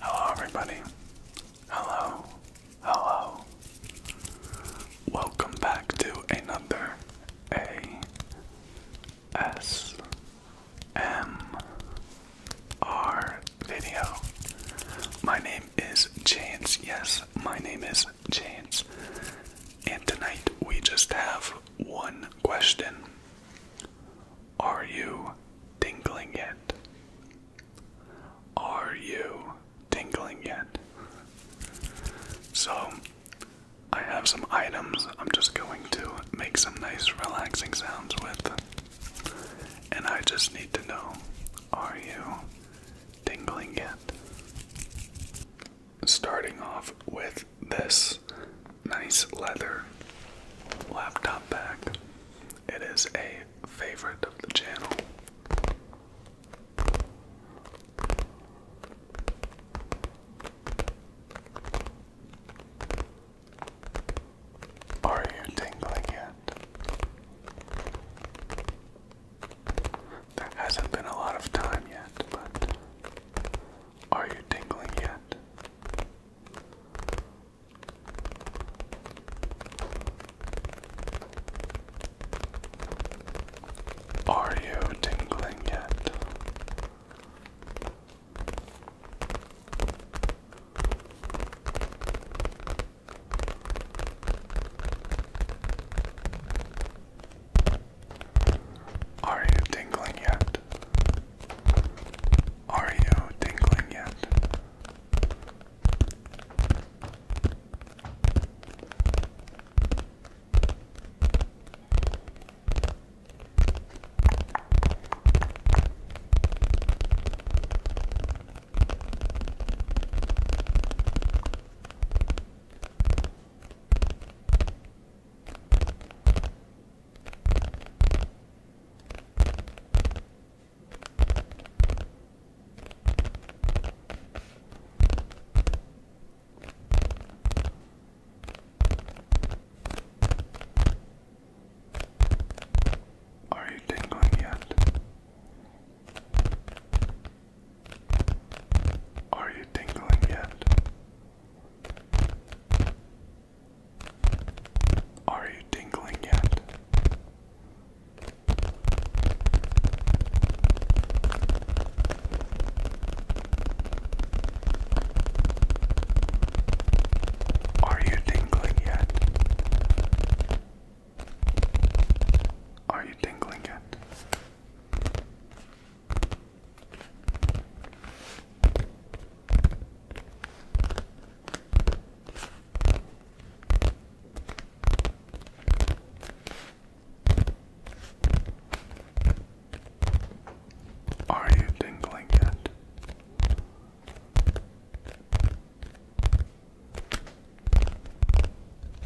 Hello, everybody. Hello. Hello. Welcome back to another ASMR video. My name is Chance. Yes, my name is Chance. And tonight we just have one question. Are you tingling yet? Are you tingling yet? So, I have some items I'm just going to make some nice relaxing sounds with. And I just need to know are you tingling yet? Starting off with this nice leather laptop bag. It is a favorite of the channel. Are you tingling yet? There hasn't been a lot of time yet, but are you tingling yet? Are you tingling yet? Are you tingling yet? Are you tingling yet? Are you tingling yet? Are you tingling yet? Are you tingling yet? Are you tingling yet? Are you tingling yet? Are you tingling yet?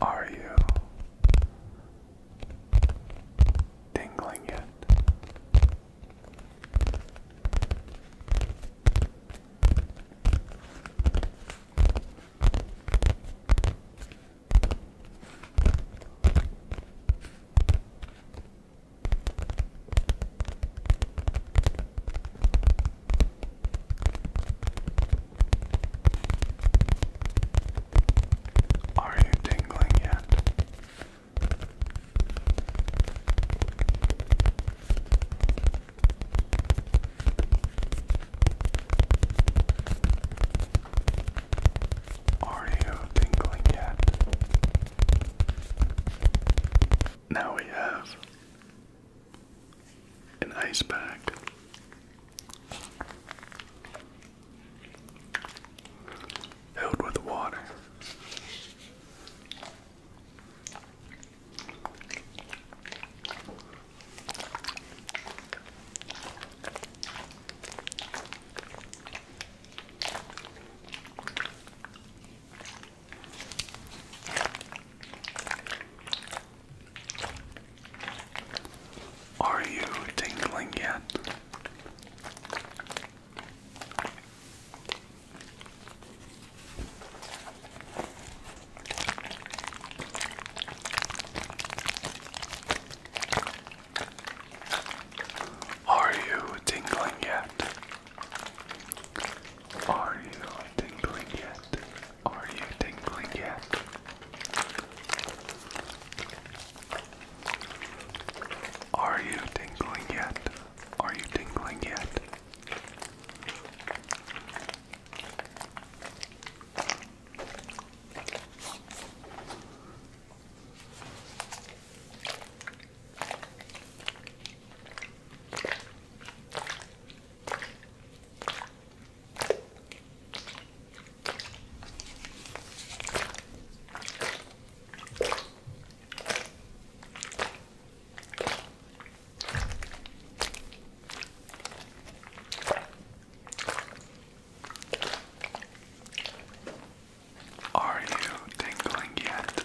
Are you tingling yet. Are you tingling yet? Are you tingling yet? Now we have an ice pack Filled with water. Are you tingling yet? Are you tingling yet? Are you tingling yet? Are you tingling yet? Are you tingling yet? Are you tingling yet? Are you tingling yet?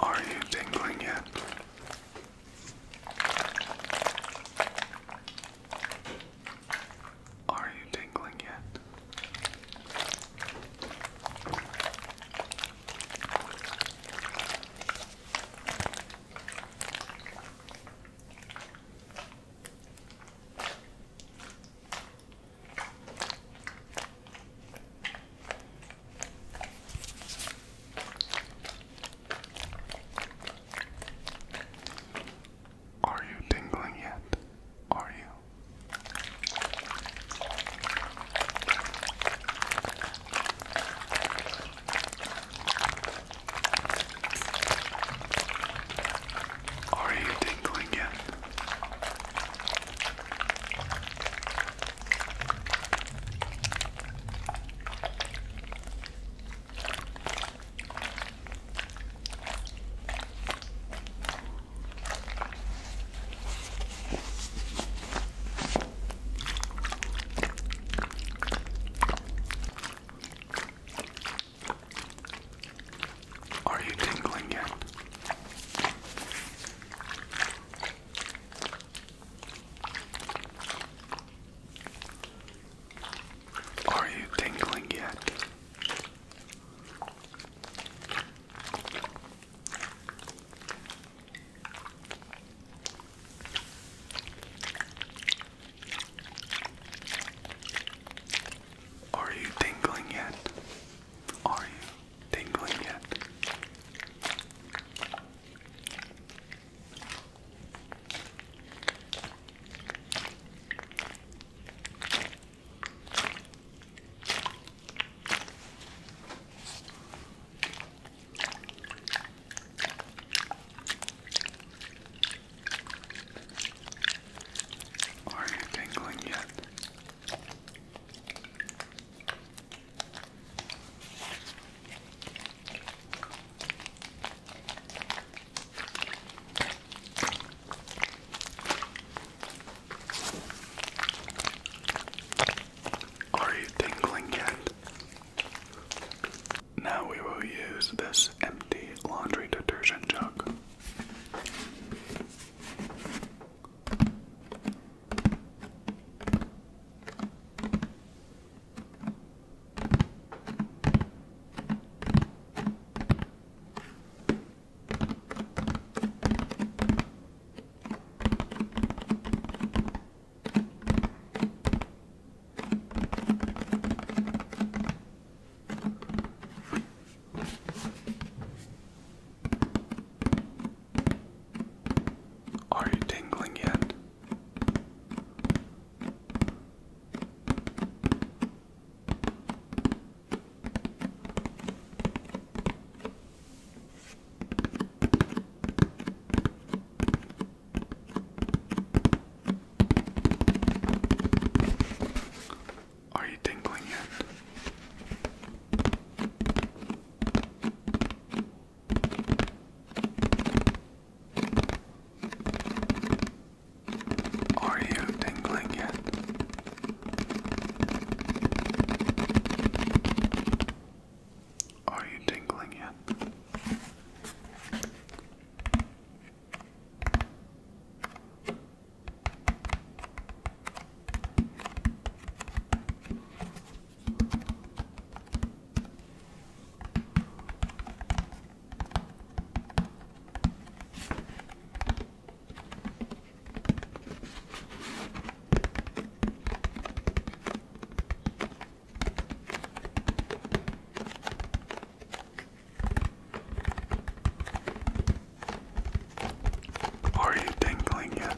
Are you tingling yet? Are you tingling yet? Are you tingling yet? Are you? Are you tingling yet? Are you tingling yet? Are you tingling yet? Are you tingling yet? Are you tingling yet? Are you tingling yet? Are you tingling yet? Now we will use this empty laundry detergent jug. Are you tingling yet? Are you tingling yet? Are you tingling yet? Are you tingling yet? Are you tingling yet?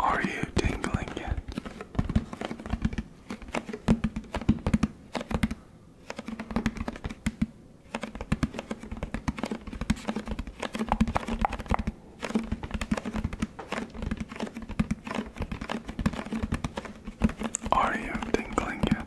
Are you tingling yet? Are you tingling yet?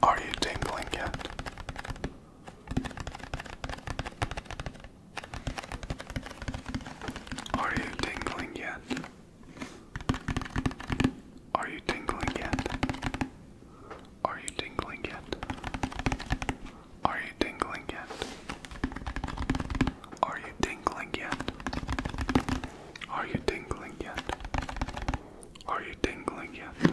Are you tingling yet? Are you tingling yet? Are you tingling yet? Are you tingling yet? Are you tingling yet? Are you tingling yet? Are you tingling yet? Are you tingling yet?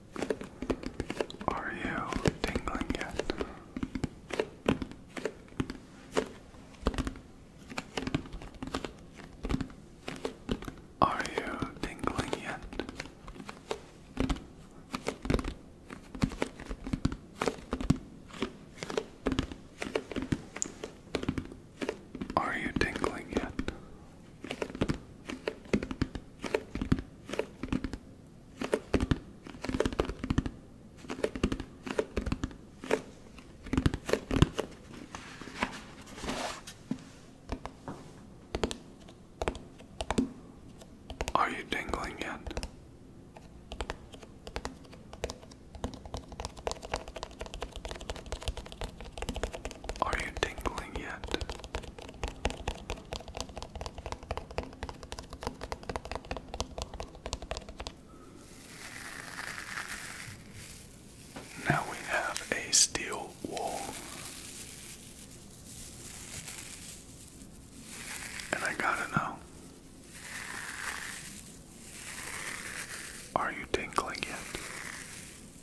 Are you tingling yet? Are you tingling yet? Are you tingling yet? Are you dangling yet? Are you tingling yet? Now we have a steel wall. And I gotta know. Are you tingling yet?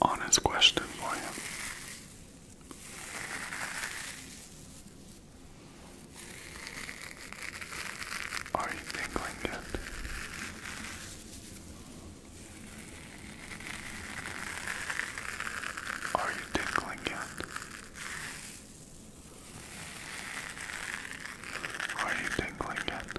honest question for you. Are you tingling yet? Are you tickling yet? Are you tickling yet?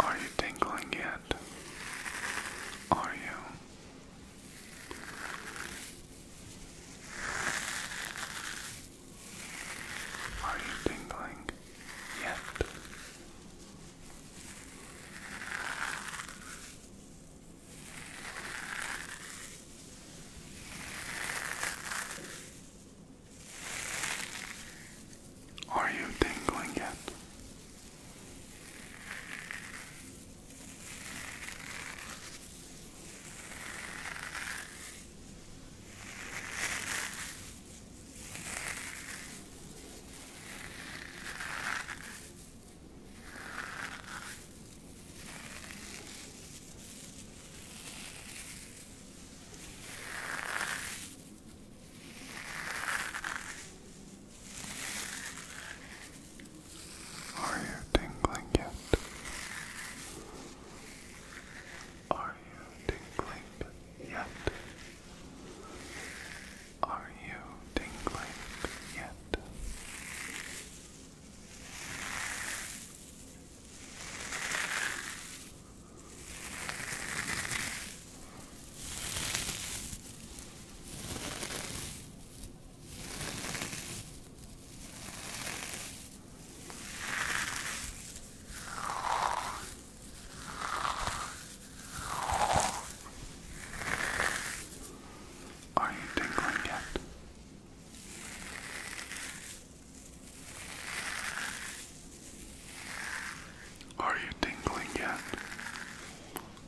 Are you tingling yet? Are you? Are you tingling yet? Are you tingling yet? Are you tingling yet? Are you tingling yet? Are you tingling yet? Are you tingling yet? Are you tingling yet?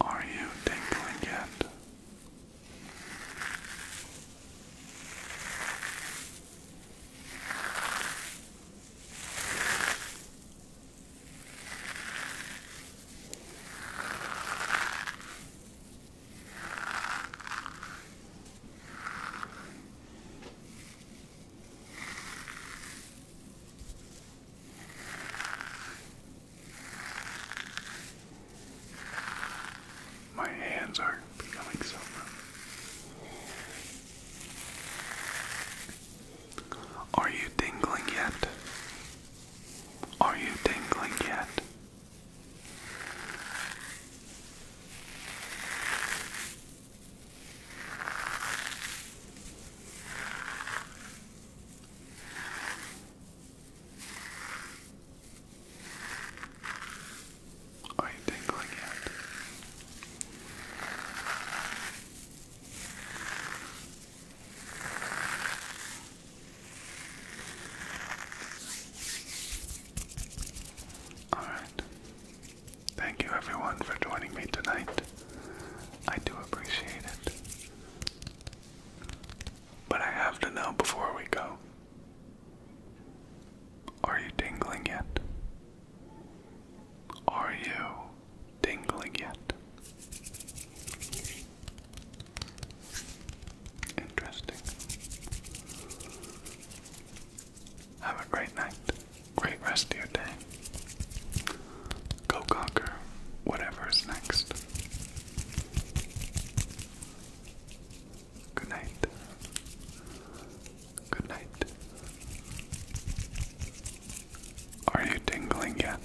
Are you tingling yet? My hands are becoming so Are you tingling yet? Are you tingling yet? Are you tingling yet? Alright. Thank you everyone for joining me tonight. I do appreciate it. But I have to know before we go. Are you tingling yet? Are you tingling yet? Interesting. Have a great night. Great rest of your day. Go conquer whatever is next. Good night. Good night. Are you tingling yet?